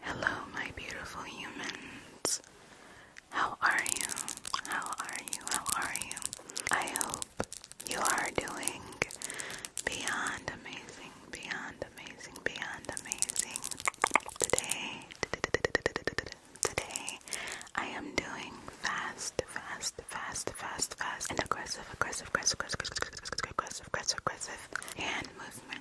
Hello, my beautiful humans. How are you? How are you? How are you? I hope you are doing beyond amazing, beyond amazing, beyond amazing. Today, today, I am doing fast, fast, fast, fast, fast, and aggressive, aggressive, aggressive, aggressive, aggressive, aggressive, aggressive hand movement.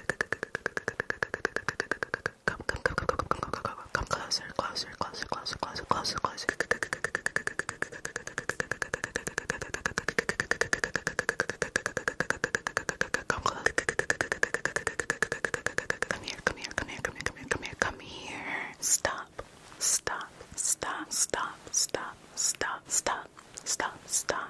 Come, come, come, come, come, come, come, come closer, closer, closer, closer, closer, closer, closer. Come close. Come here, come here, come here, come here, come here, come here, come here. Stop, stop, stop, stop, stop, stop, stop, stop, stop,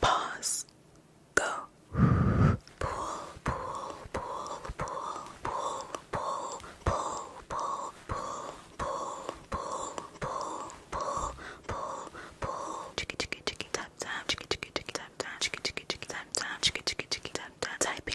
Pause. Go. Pull, pull, pull, pull, pull, pull, pull, pull, pull, pull, pull, pull, pull, pull, pull. Chicky, chicky, chicky, tap, tap. Chicky, chicky, chicky, tap, tap. Chicky, chicky, chicky, tap, tap. Chicky, chicky, chicky, tap, tap. Typing.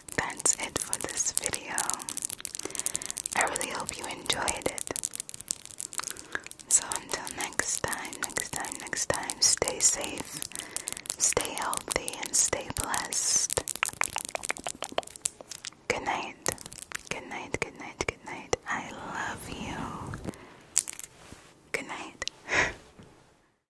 that's it for this video. I really hope you enjoyed it. So, until next time, next time, next time, stay safe, stay healthy, and stay blessed. Good night, good night, good night, good night. I love you. Good night.